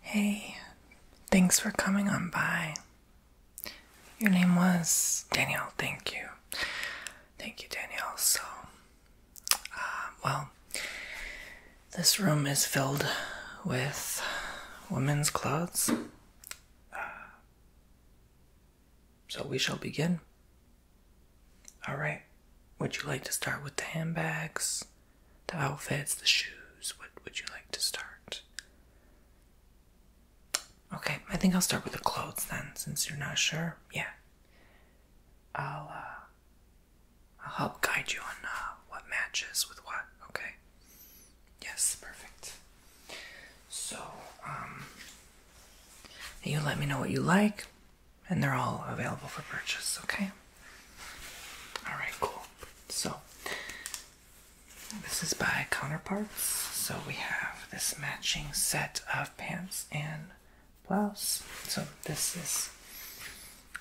Hey, thanks for coming on by. Your name was Danielle, thank you. Thank you, Danielle. So, uh, well, this room is filled with women's clothes. Uh, so we shall begin. All right. Would you like to start with the handbags, the outfits, the shoes? What would you like to start? Okay, I think I'll start with the clothes then, since you're not sure. Yeah. I'll uh, I'll help guide you on uh, what matches with what. Okay. Yes, perfect. So, um, you let me know what you like and they're all available for purchase, okay? All right, cool. So, this is by Counterparts. So, we have this matching set of pants and blouse. So, this is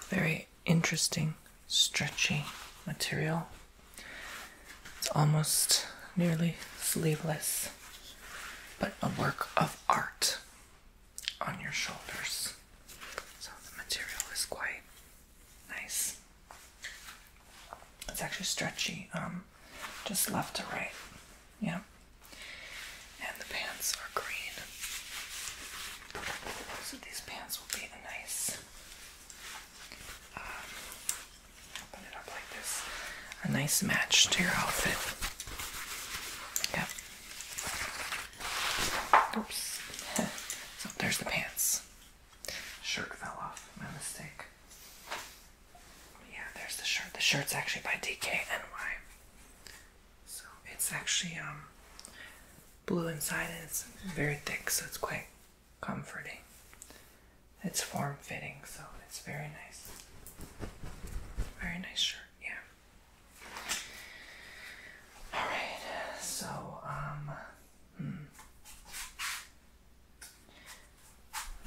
very interesting, stretchy material. It's almost nearly sleeveless, but a work of art on your shoulders. So the material is quite nice. It's actually stretchy, um, just left to right. Yeah. And the pants are green. So these pants will be a nice um, open it up like this. A nice match to your outfit. Yep. Oops. so oh, there's the pants. Shirt fell off. My mistake. Yeah, there's the shirt. The shirt's actually by DKNY. So it's actually um blue inside and it's very thick, so it's quite comforting. It's form fitting, so it's very nice. Very nice shirt, yeah. All right. So, um, hmm.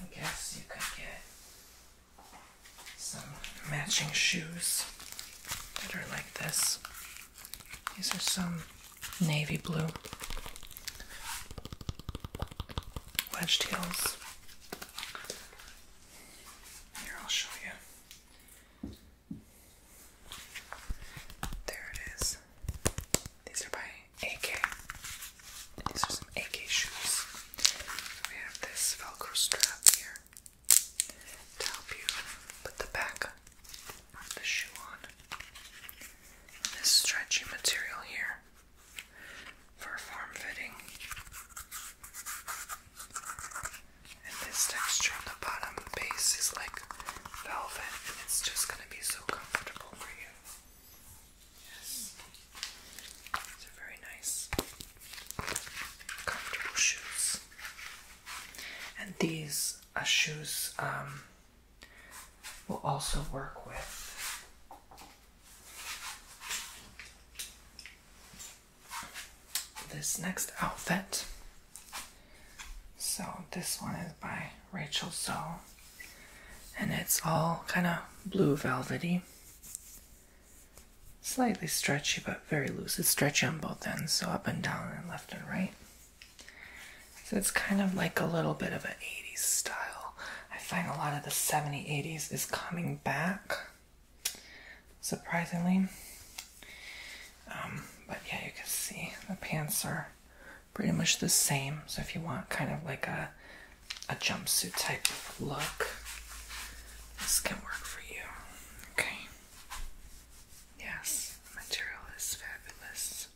I guess you could get some matching shoes that are like this. These are some navy blue wedge heels. Here, I'll show you. There it is. These are by AK. These are some AK shoes. We have this Velcro strap here to help you put the back of the shoe on. This stretchy material here for a fitting. And this texture on the bottom base is like velvet, and it's just gonna be so comfortable for you. Yes. These are very nice, comfortable shoes. And these uh, shoes um, will also work with this next outfit. So this one is by Rachel Zoe and it's all kind of blue velvety. Slightly stretchy but very loose. It's stretchy on both ends, so up and down and left and right. So it's kind of like a little bit of an 80s style. I find a lot of the 70s, 80s is coming back surprisingly. Um, but yeah, you can see the pants are pretty much the same. So if you want kind of like a a jumpsuit type of look, this can work for you. Okay. Yes, the material is fabulous.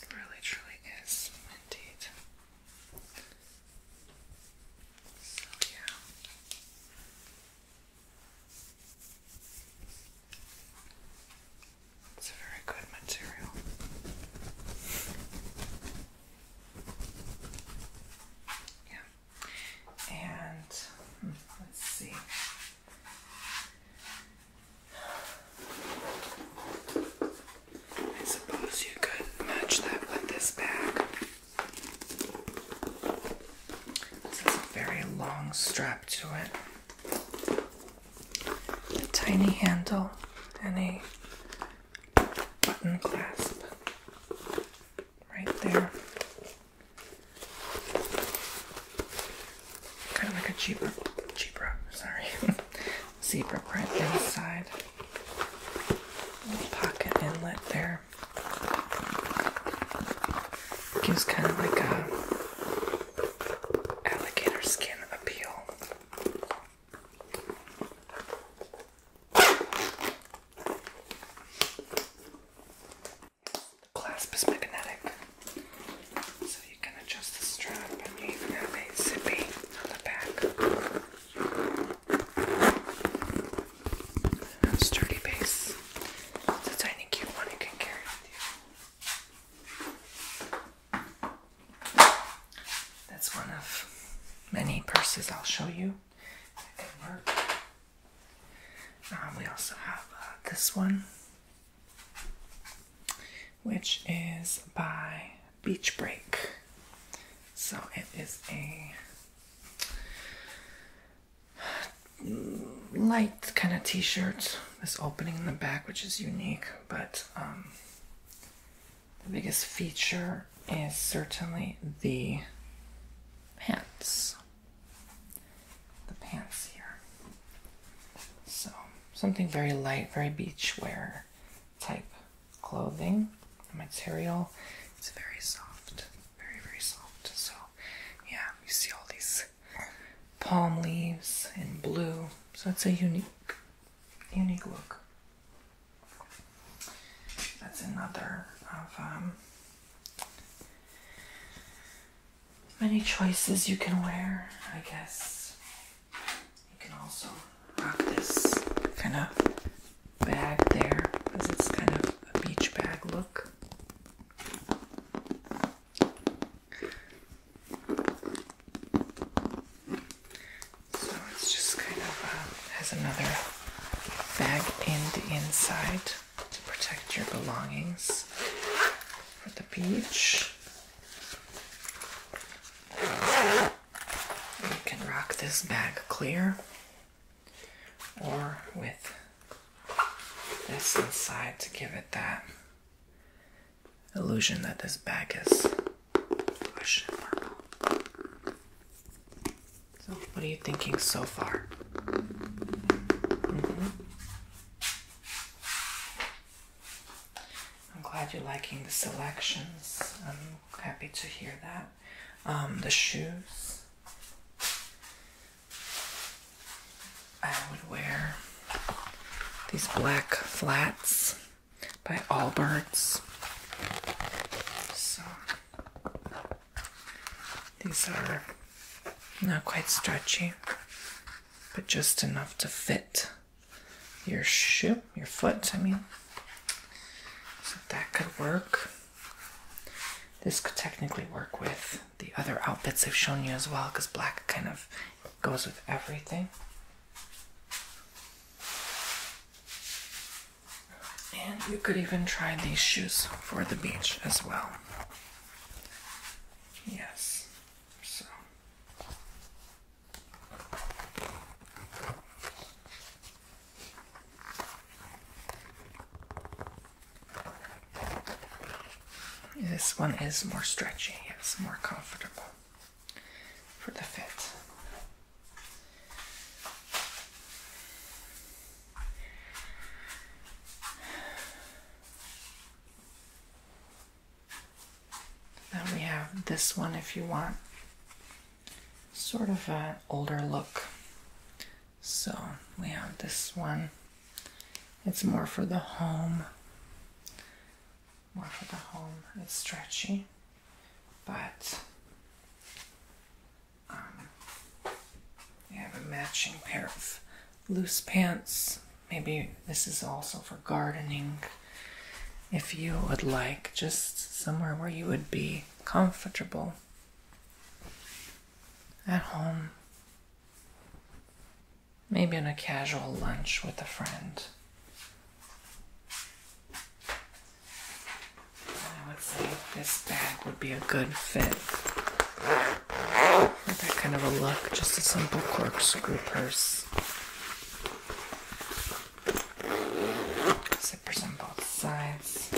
It really truly is indeed. It's a very good material. Yeah. And hmm, let's see. I suppose you could match that with this bag. This is a very long strap to it, a tiny handle, and a button clasp right there. Kind of like a cheaper, cheaper. Sorry, zebra print inside. Pocket inlet there. Gives kind of like a alligator skin appeal. The clasp is magnetic, so you can adjust the strap and you even have a zippy on the back. Sturdy base. It's a tiny cute one you can carry with you. That's one of many purses I'll show you. It can work. Um, we also have uh, this one, which is by beach break. So it is a light kind of t-shirt. This opening in the back, which is unique, but um, the biggest feature is certainly the pants. The pants here. So something very light, very beach wear type clothing. material It's very soft, very, very soft. So, yeah, you see all these palm leaves in blue. So, it's a unique, unique look. That's another of um, many choices you can wear, I guess. You can also rock this kind of bag there because it's kind of a beach bag look. So it's just kind of uh, has another bag in the inside to protect your belongings for the beach. You can rock this bag clear or with this inside to give it that illusion that this bag is So, what are you thinking so far? Mm-hmm. I'm glad you're liking the selections. I'm happy to hear that. Um, the shoes. I would wear these black flats by Allbirds. So these are not quite stretchy, but just enough to fit your shoe, your foot, I mean. So that could work. This could technically work with the other outfits I've shown you as well, because black kind of goes with everything. And you could even try these shoes for the beach as well. Yes. This one is more stretchy, it's more comfortable for the fit. Then we have this one if you want sort of an older look. So we have this one. It's more for the home. More for the home. It's stretchy, but um, we have a matching pair of loose pants maybe this is also for gardening. If you would like just somewhere where you would be comfortable at home, maybe in a casual lunch with a friend. I would say this bag would be a good fit that kind of a look, just a simple corkscrew purse. Zippers on both sides.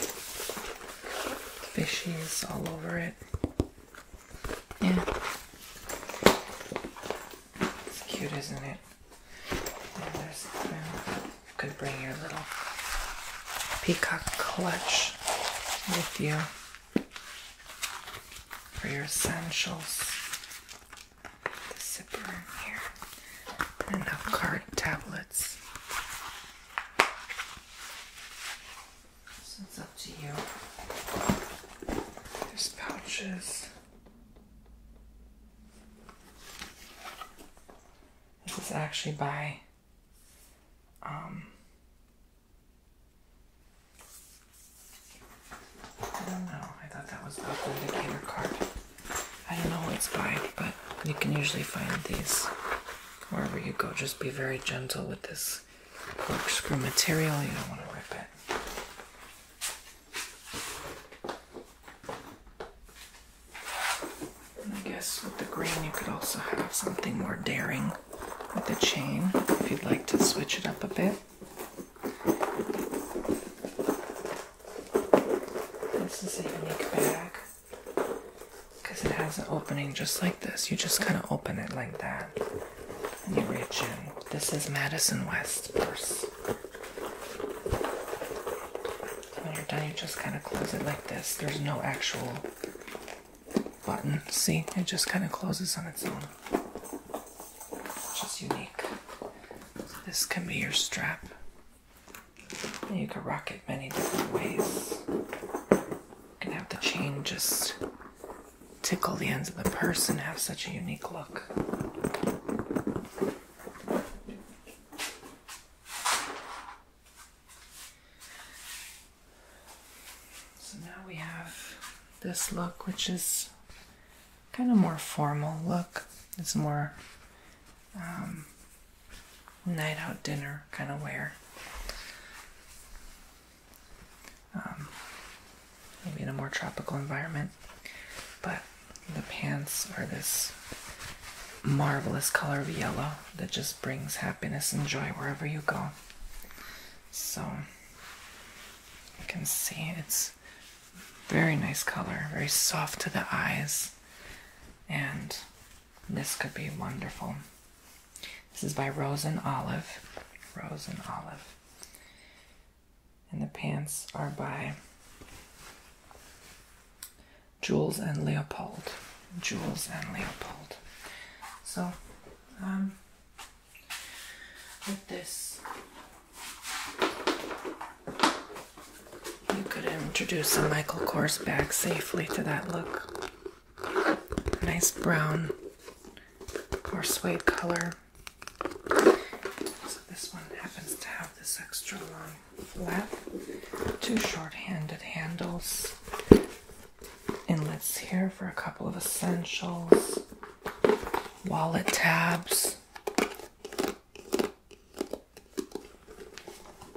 Fishies all over it. Yeah. It's cute, isn't it? you, know, you could bring your little peacock clutch with you for your essentials the zipper here and card tablets. it's up to you. There's pouches. This is actually by um, I don't know. I thought that was Buckle Indicator card. I don't know what it's by, but you can usually find these wherever you go. Just be very gentle with this corkscrew material. You don't want to rip it. I guess with the green, you could also have something more daring with a chain if you'd like to switch it up a bit. This is a unique bag because it has an opening just like this. You just kind of open it like that and you reach in. This is Madison West purse. when you're done, you just kind of close it like this. There's no actual button. See, it just kind of closes on its own which is unique. this can be your strap. you can rock it many different ways. and have the chain just tickle the ends of the purse and have such a unique look. So now we have this look, which is kind of more formal look. It's more um, night out dinner kind of wear. Um, maybe in a more tropical environment. But the pants are this marvelous color of yellow that just brings happiness and joy wherever you go. So you can see it's very nice color, very soft to the eyes, and this could be wonderful. This is by Rose and Olive. Rose and Olive. And the pants are by Jules and Leopold. Jules and Leopold. So, um, with this. You could introduce a Michael Kors bag safely to that look. Nice brown or suede color. So this one happens to have this extra long flap, two short-handed handles, inlets here for a couple of essentials, wallet tabs,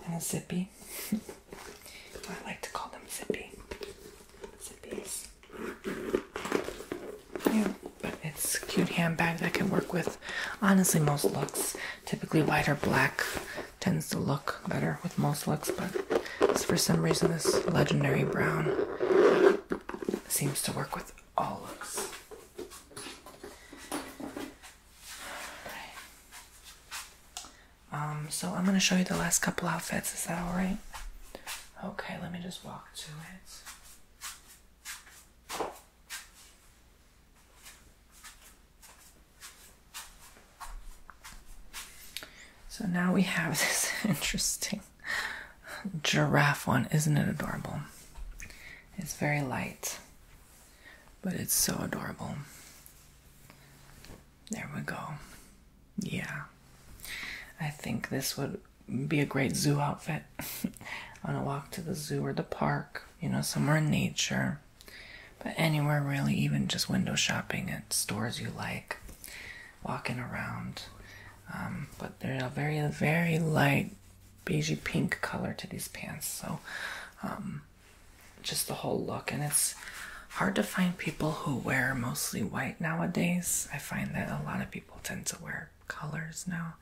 and a zippy. I like to call them zippy. Zippies. but it's a cute handbag that can work with. Honestly, most looks. Typically, white or black tends to look better with most looks, but for some reason, this legendary brown Seems to work with all looks. All right. Um, so I'm gonna show you the last couple outfits. Is that all right? Okay, let me just walk to it. So now we have this interesting giraffe one. Isn't it adorable? It's very light, but it's so adorable. There we go. Yeah. I think this would be a great zoo outfit on a walk to the zoo or the park, you know, somewhere in nature. But anywhere really, even just window shopping at stores you like walking around. Um, but they're a very, very light beigey pink color to these pants. So, um, just the whole look. And it's hard to find people who wear mostly white nowadays. I find that a lot of people tend to wear colors now.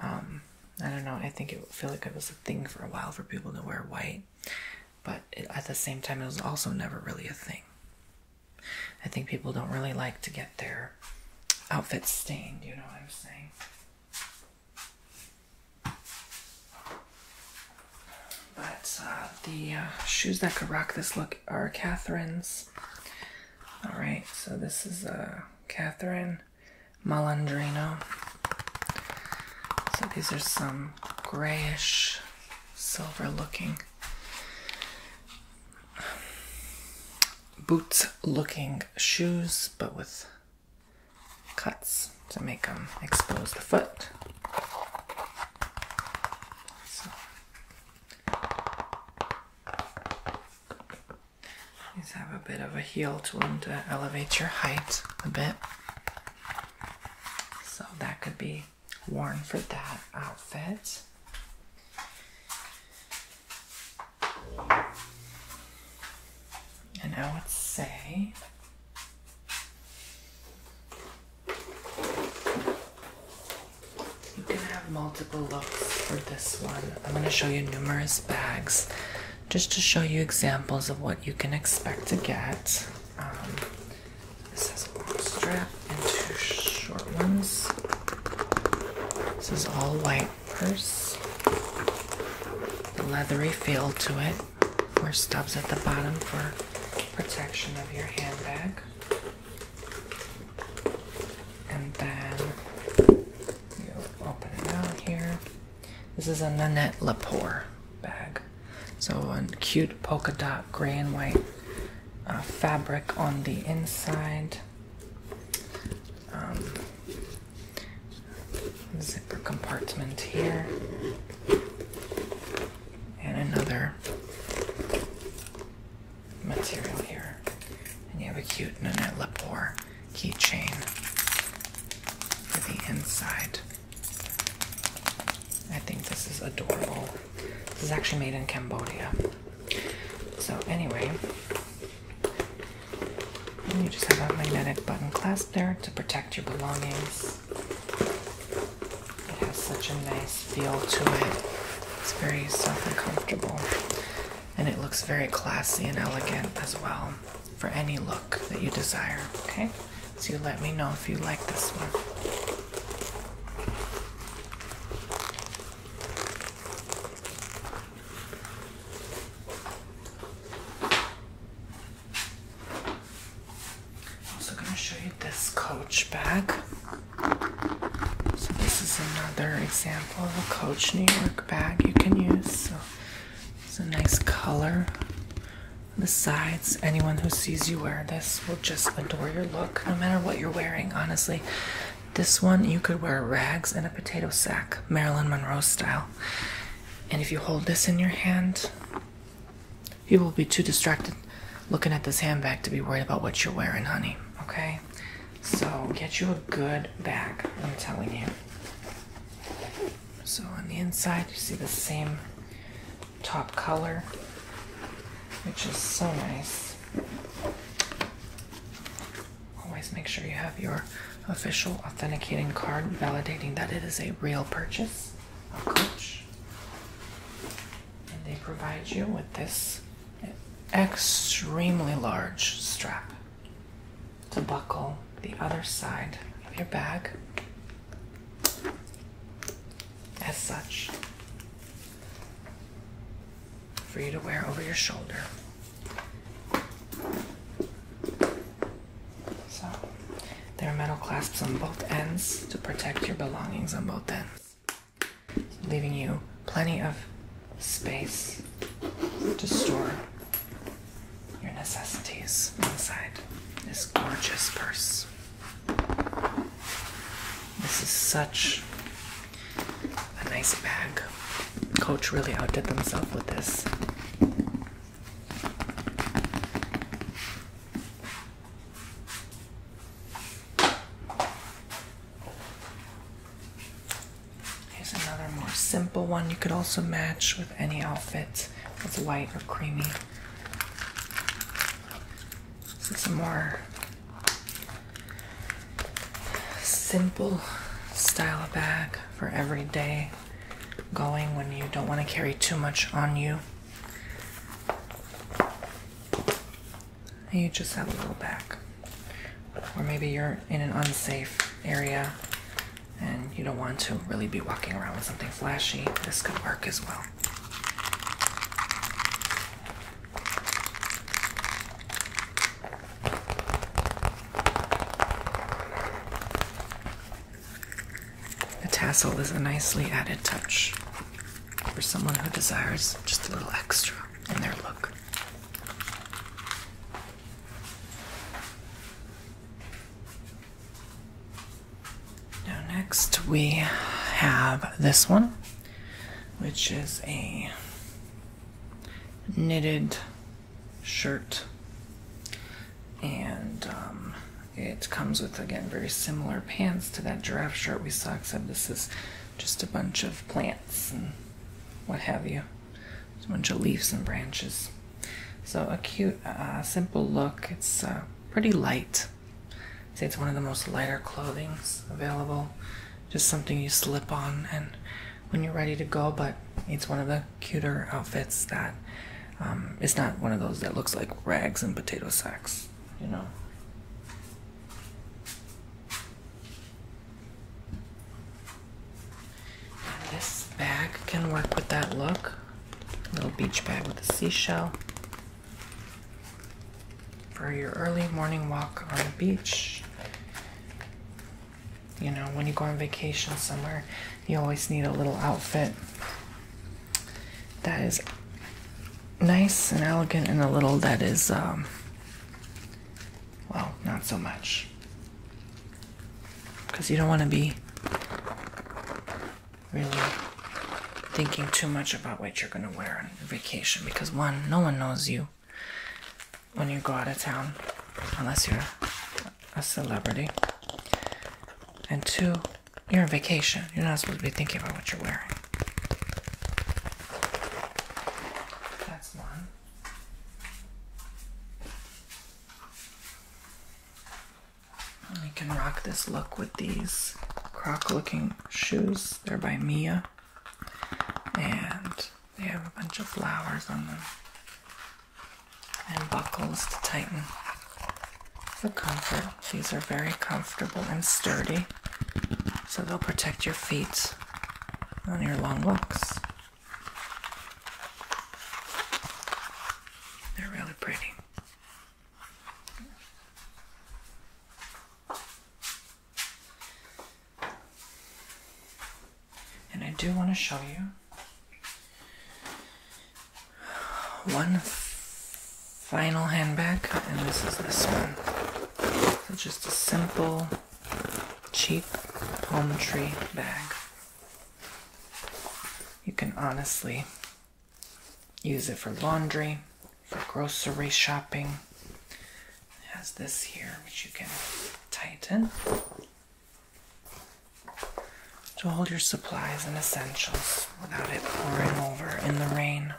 Um, I don't know. I think it feel like it was a thing for a while for people to wear white, but at the same time, it was also never really a thing. I think people don't really like to get their outfits stained, you know what I'm saying? But uh, the uh, shoes that could rock this look are Catherine's. All right, so this is a uh, Catherine Malandrino. So these are some grayish, silver looking boots looking shoes, but with cuts to make them expose the foot. So. These have a bit of a heel to them to elevate your height a bit. So that could be worn for that outfit. And I would say you can have multiple looks for this one. I'm going to show you numerous bags just to show you examples of what you can expect to get. Um, this has a long strap and two short ones. This is all white purse. The leathery feel to it. Four stubs at the bottom for protection of your handbag. And then you open it out here. This is a Nanette Lepore bag. So a cute polka dot gray and white uh, fabric on the inside. Um, zipper compartment here. And another material here. And you have a cute Nanette Lepore keychain for the inside. I think this is adorable. This is actually made in Cambodia. So, anyway, you just have a magnetic button clasp there to protect your belongings. It has such a nice feel to it. It's very soft and comfortable. And it looks very classy and elegant as well for any look that you desire. Okay? So you let me know if you like this one. I'm also going to show you this coach bag. So this is another example of a Coach New York bag you can use. So it's a nice color. Besides, anyone who sees you wear this will just adore your look, no matter what you're wearing, honestly. This one, you could wear rags and a potato sack, Marilyn Monroe style. And if you hold this in your hand, you will be too distracted looking at this handbag to be worried about what you're wearing, honey. Okay? So get you a good bag, I'm telling you. So on the inside, you see the same top color, which is so nice. Always make sure you have your official authenticating card validating that it is a real purchase of Coach. And they provide you with this extremely large strap to buckle the other side of your bag as such for you to wear over your shoulder. So, there are metal clasps on both ends to protect your belongings on both ends, leaving you plenty of space to store your necessities inside this gorgeous purse. This is such a nice bag. Coach really outdid themselves with this. Here's another more simple one you could also match with any outfit. It's white or creamy. Some more simple style of bag for everyday going when you don't want to carry too much on you. And you just have a little bag. Or maybe you're in an unsafe area and you don't want to really be walking around with something flashy. This could work as well. The tassel is a nicely added touch for someone who desires just a little extra in their look. Now, next we have this one, which is a knitted shirt, and um, it comes with again very similar pants to that giraffe shirt we saw, except this is just a bunch of plants and what have you, a bunch of leaves and branches. So, a cute, uh, simple look. It's uh, pretty light. i say it's one of the most lighter clothing available. Just something you slip on and when you're ready to go, but it's one of the cuter outfits that um, it's not one of those that looks like rags and potato sacks, you know. this bag can work with that look. Little beach bag with a seashell for your early morning walk on the beach. You know, when you go on vacation somewhere, you always need a little outfit that is nice and elegant, and a little that is, um, well, not so much. Because you don't want to be really thinking too much about what you're going to wear on vacation because one, no one knows you when you go out of town unless you're a celebrity. And two, you're on vacation. You're not supposed to be thinking about what you're wearing. That's one. You can rock this look with these croc looking shoes. They're by Mia. And they have a bunch of flowers on them. And buckles to tighten for comfort. These are very comfortable and sturdy. So they'll protect your feet on your long walks. They're really pretty. And I do want to show you one final handbag, and this is this one. So just a simple, cheap palm tree bag. You can honestly use it for laundry, for grocery shopping. It has this here, which you can tighten to hold your supplies and essentials without it pouring over in the rain.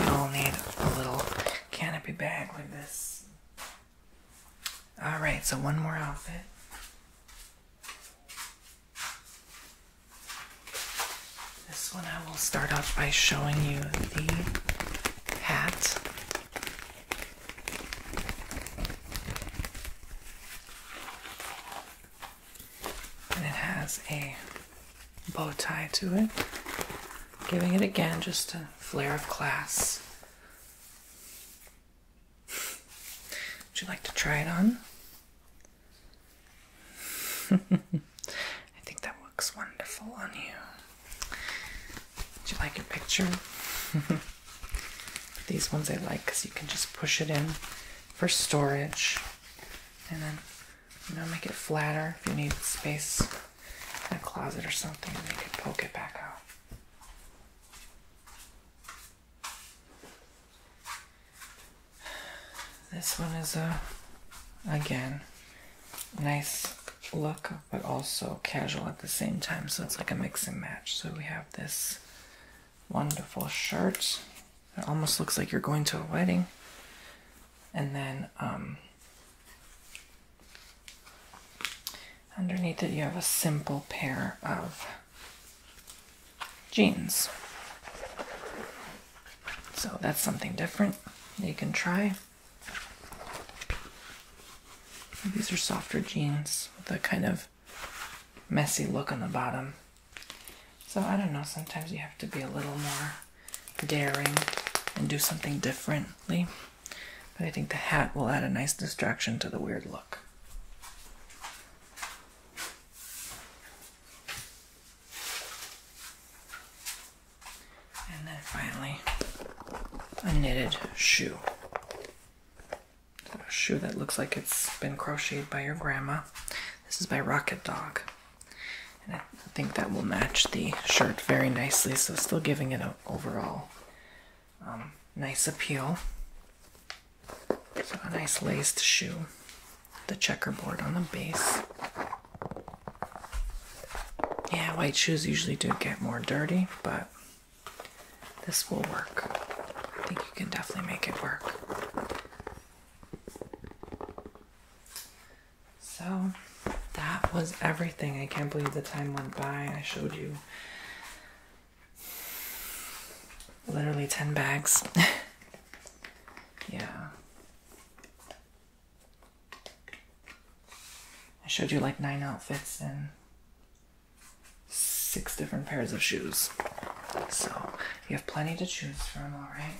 you all need a little canopy bag like this. All right, so one more outfit. This one I will start off by showing you the hat. And it has a bow tie to it, giving it again just a flare of class. Would you like to try it on? I think that looks wonderful on you. Would you like your picture? These ones I like because you can just push it in for storage and then you know, make it flatter if you need space in a closet or something, They you can poke it back out. This one is a, again, nice look, but also casual at the same time. So it's like a mix and match. So we have this wonderful shirt. It almost looks like you're going to a wedding. And then um, underneath it, you have a simple pair of jeans. So that's something different you can try. These are softer jeans with a kind of messy look on the bottom. So I don't know, sometimes you have to be a little more daring and do something differently. But I think the hat will add a nice distraction to the weird look. And then finally, a knitted shoe. a shoe that looks like it's been crocheted by your grandma. This is by Rocket Dog. I think that will match the shirt very nicely, so still giving it an overall um, nice appeal. So a nice laced shoe, the checkerboard on the base. Yeah, white shoes usually do get more dirty, but this will work. I think you can definitely make it work. So that was everything. I can't believe the time went by. I showed you literally 10 bags. yeah. I showed you like nine outfits and six different pairs of shoes. So you have plenty to choose from, alright?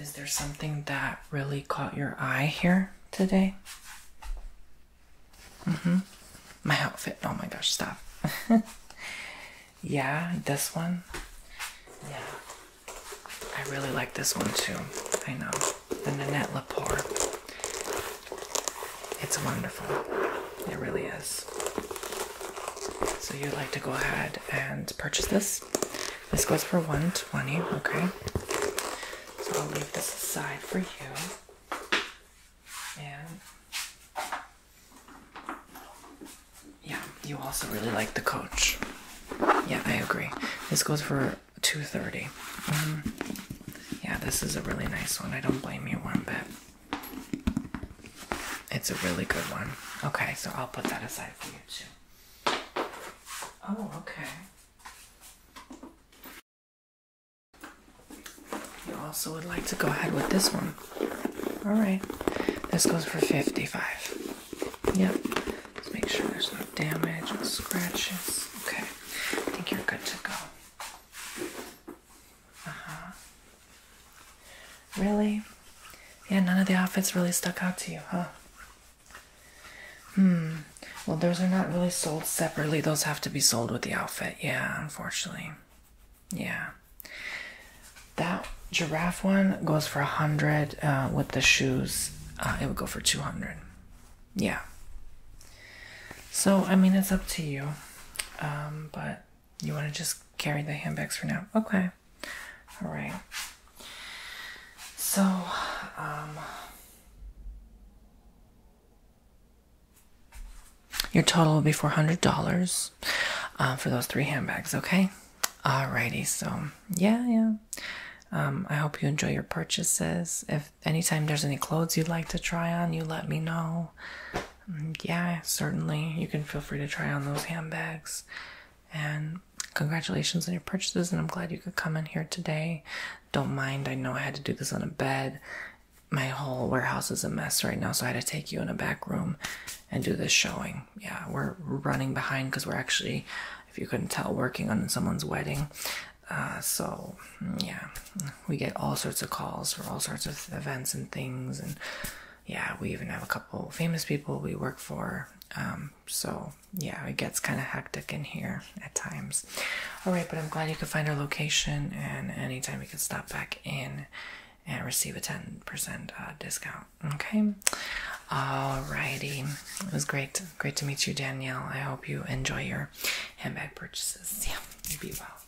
Is there something that really caught your eye here today? hmm My outfit. Oh my gosh, stop. yeah, this one. Yeah. I really like this one too. I know. The Nanette Lepore. It's wonderful. It really is. So you'd like to go ahead and purchase this. This goes for 120, okay? So I'll leave this aside for you. And yeah, you also really like the coach. Yeah, I agree. This goes for 230. Mm-hmm. yeah, this is a really nice one. I don't blame you one bit. It's a really good one. Okay, so I'll put that aside for you too. Oh, okay. You also would like to go ahead with this one. Alright. This goes for 55. Yep. Let's make sure there's no damage or scratches. Okay. I think you're good to go. Uh-huh. Really? Yeah, none of the outfits really stuck out to you, huh? Hmm. Well, those are not really sold separately. Those have to be sold with the outfit. Yeah, unfortunately. Yeah. That giraffe one goes for a hundred uh, with the shoes. Uh, it would go for 200. Yeah. So, I mean, it's up to you. Um, but you want to just carry the handbags for now? Okay. All right. So, um, your total will be $400 uh, for those three handbags, okay? Alrighty, so yeah, yeah. Um, I hope you enjoy your purchases. If anytime there's any clothes you'd like to try on, you let me know. Mm, yeah, certainly. You can feel free to try on those handbags. And congratulations on your purchases. And I'm glad you could come in here today. Don't mind, I know I had to do this on a bed. My whole warehouse is a mess right now, so I had to take you in a back room and do this showing. Yeah, we're running behind because we're actually, if you couldn't tell, working on someone's wedding. Uh, so mm, yeah, we get all sorts of calls for all sorts of events and things and yeah, we even have a couple famous people we work for. Um, so yeah, it gets kind of hectic in here at times. All right, but I'm glad you could find our location, and anytime you can stop back in and receive a 10% uh, discount. Okay. All righty. It was great. Great to meet you, Danielle. I hope you enjoy your handbag purchases. Yeah. Be well.